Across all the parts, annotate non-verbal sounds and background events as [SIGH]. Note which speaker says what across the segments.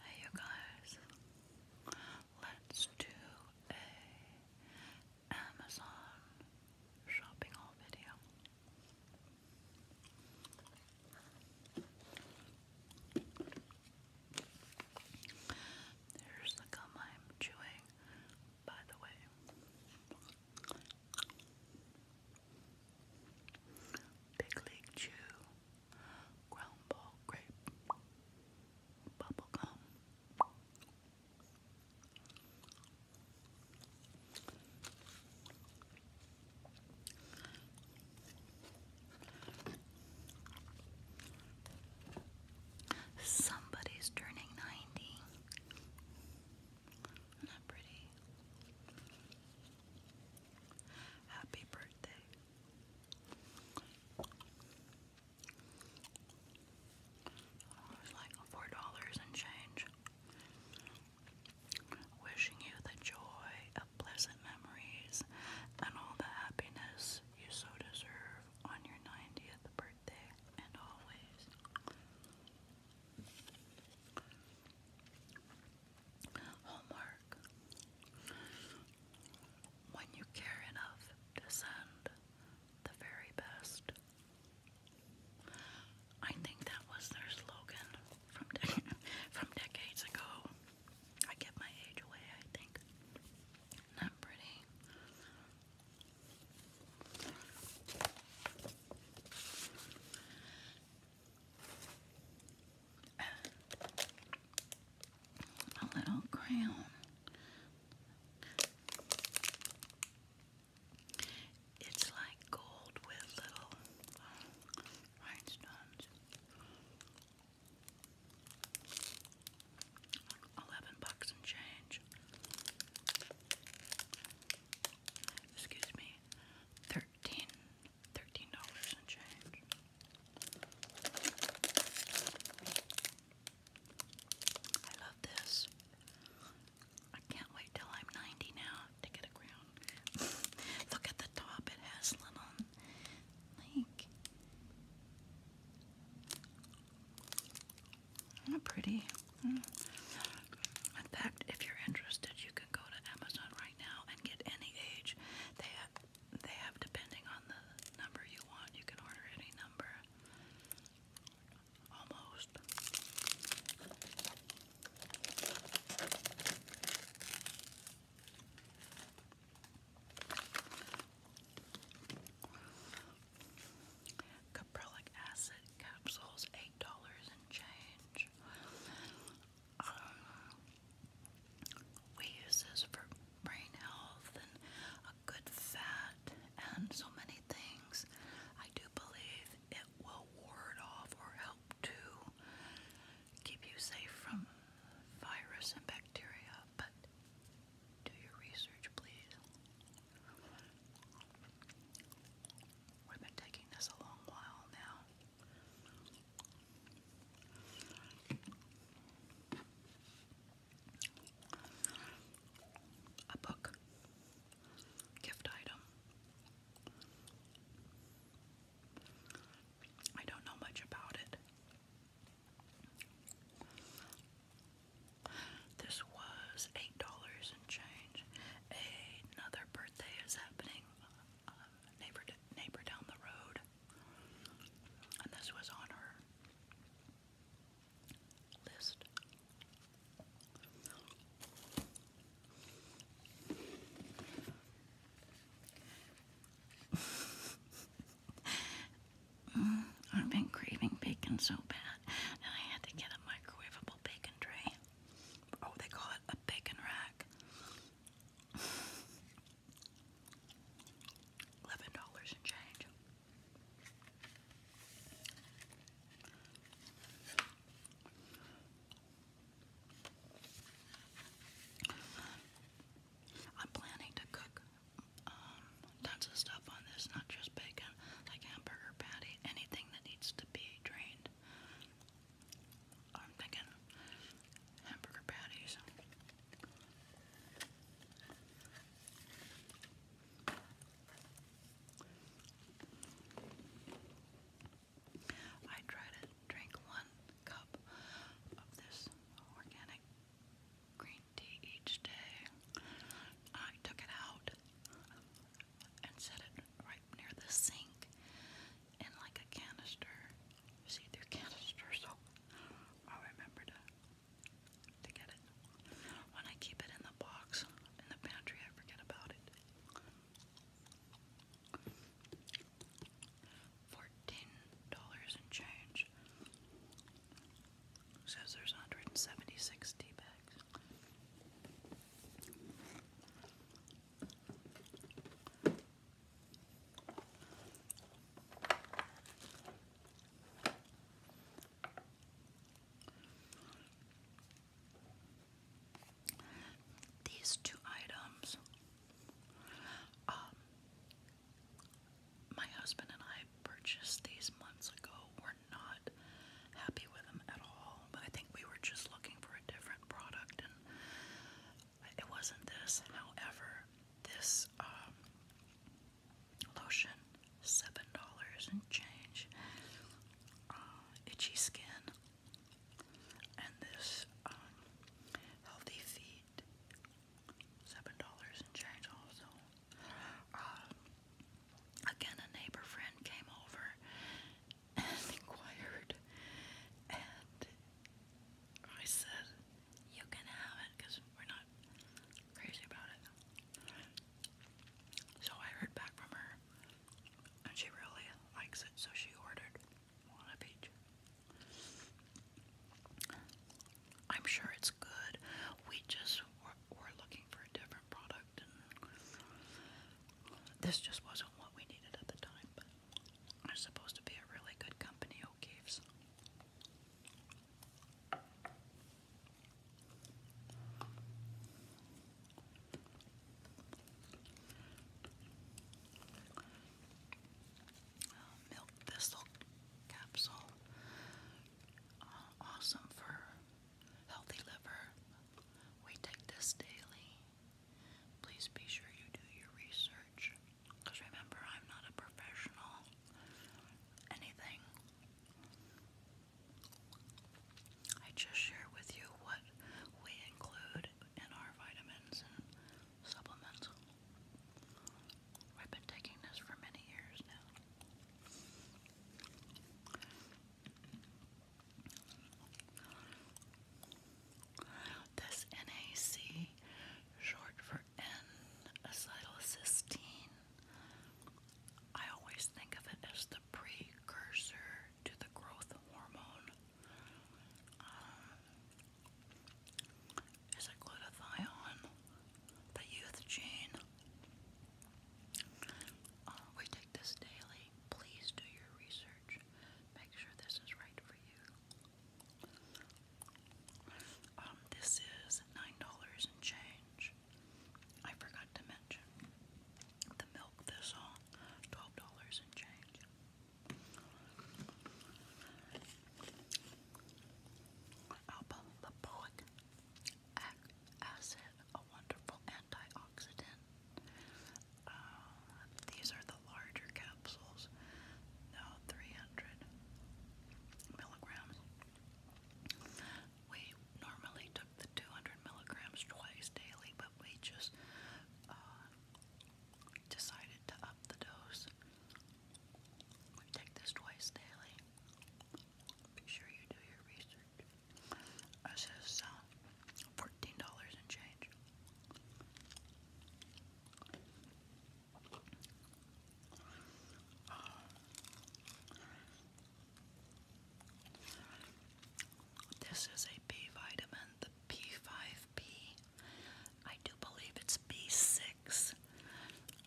Speaker 1: Hey, you guys, let's do a Amazon shopping haul video. Here's the gum I'm chewing by the way. Big League Chew, Ground Ball Grape, Bubblegum. Somebody's turning 90. not pretty? Happy birthday. it was like four dollars and change. Wishing you the joy pleasant memories and all the happiness you so deserve on your 90th birthday and always. Hallmark. When you care enough to send the very best. I think that was their slogan from [LAUGHS] decades ago. I get my age away, I think. Not pretty. A little crown. It's like gold with little rhinestones. Eleven bucks and change. Excuse me. Thirteen. dollars and change. I love this. I can't wait till I'm 90 now to get a crown. [LAUGHS] Look at the top, it has little like, isn't pretty? In fact, if you're interested, you can go to Amazon right now and get any age. They have, they have depending on the number you want, you can order any number. Almost. Caprylic acid capsules, eight dollars and change. we use this for brain health and a good fat and so many things. I do believe it will ward off or help to keep you safe from virus and bacteria, but do your research, please. We've been taking this a long while now. A book, gift item. I don't know much about it. This was eight dollars and change. Another birthday is happening, um, neighbor neighbor down the road, and this was on her list. Mm, I've been craving bacon so bad that I had to get a microwavable bacon tray. Oh, they call it a bacon rack. Eleven dollars and change. I'm planning to cook um, tons of stuff on this, not just bacon, like hamburger patty, anything that needs to be drained. I'm thinking hamburger patties. I try to drink one cup of this organic green tea each day. I took it out and set it right near the sink in like a canister, see-through canister, so i remember to, to get it. When I keep it in the box in the pantry, I forget about it. Fourteen dollars and change. Says there's 176 tea bags. These two items um, my husband and I purchased these months ago. We're not happy with them at all, but I think we were just looking for a different product, and it wasn't this. However, this um, lotion, seven dollars and change, uh, itchy skin, and this um, healthy feet paid seven dollars and change also. Uh, again, a neighbor friend came over and [LAUGHS] inquired, and I said, "You can have it because we're not crazy about it." So I heard back from her, and she really likes it, so she ordered. I'm sure it's good. We just were, looking for a different product, and this just wasn't what we needed at the time. But I'm supposed to be a really good company, O'Keefe's milk thistle capsule. Uh, awesome for healthy liver. We take this daily. Please be sure you do your research. Because remember, I'm not a professional. Anything. I just share with you what we include in our vitamins and supplements. I've been taking this for many years now. This NAC, short for N-acetylcysteine, I always think of it as the precursor to the growth hormone um, is it the youth gene. Uh, we take this daily. Please do your research. Make sure this is right for you. Um, this is nine dollars and change. I forgot to mention the milk this on dollars and change. Alpha-lipoic acid, a wonderful antioxidant. Uh, these are the larger capsules, now 300 milligrams. We normally took the 200 milligrams twice daily, but we just uh, decided to up the dose. take this twice daily. Be sure you do your research. This is uh, um, fourteen dollars and change. this is a B vitamin, the P5P I do believe it's B6.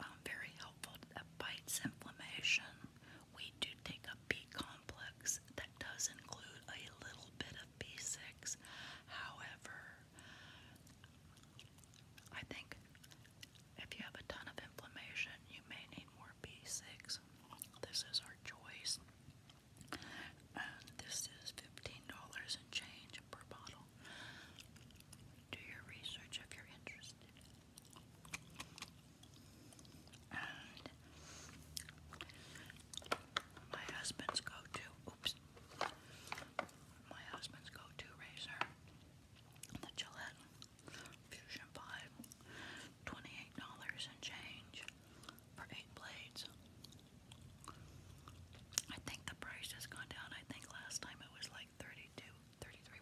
Speaker 1: Um, very helpful. That bites inflammation. We do take a B complex that does include a little bit of B6. However, I think if you have a ton of inflammation, you may need more B6. This is our choice. And uh, this is $15 and change per bottle. Do your research if you're interested. And my husband's go to, oops, my husband's go to razor, the Gillette Fusion 5, dollars and change for 8 blades. I think the price has gone down. I think last time it was like 32,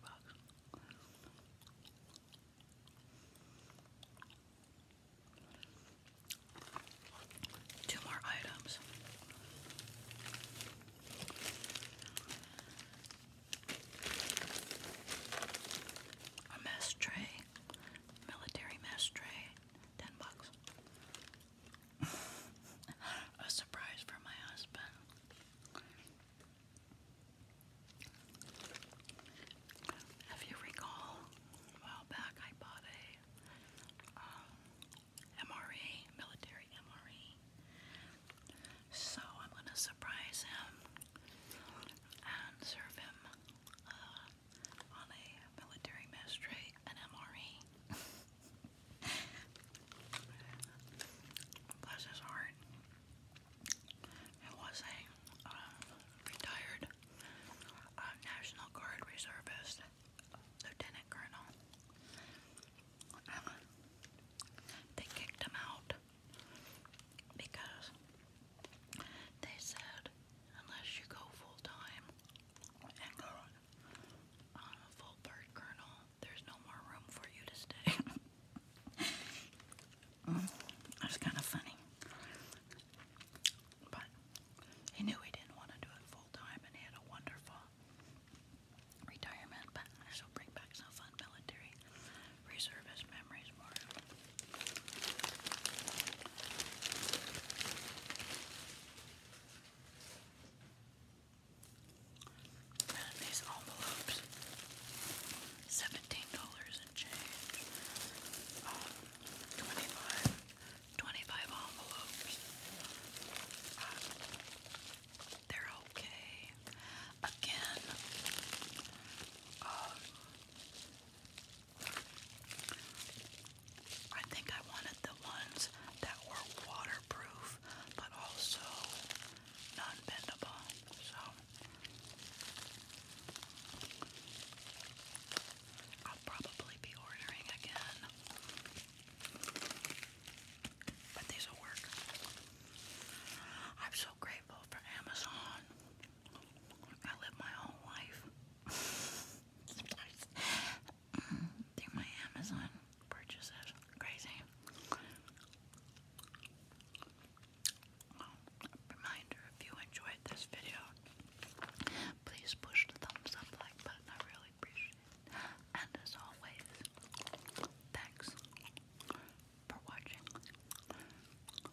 Speaker 1: bucks. Two more items. A mess tray, military mess tray, ten bucks. [LAUGHS] A surprise for my husband. If you recall, a while back I bought a MRE, um, military MRE. So I'm going to surprise him and serve him uh, on a military mess tray, an MRE. Bless his heart. It was a uh, retired uh, National Guard reservist, Lieutenant Colonel. they kicked him out because they said unless you go full time and go on um, a full bird kernel, there's no more room for you to stay. [LAUGHS] that's kind of funny. But he knew he didn't want to do it full time and he had a wonderful retirement, but this will bring back some fun military reservist memories these envelopes, seventeen dollars in change. Um, twenty-five, twenty-five envelopes. Um, they're okay. Again, um, I think I wanted the ones that were waterproof but also non bendable. So I'll probably be ordering again. But these will work. I'm so grateful for Amazon. I live my whole life. [LAUGHS] through my Amazon purchases. Crazy. reminder if you enjoyed this video, please push the thumbs up like button. I really appreciate it. And as always, thanks for watching.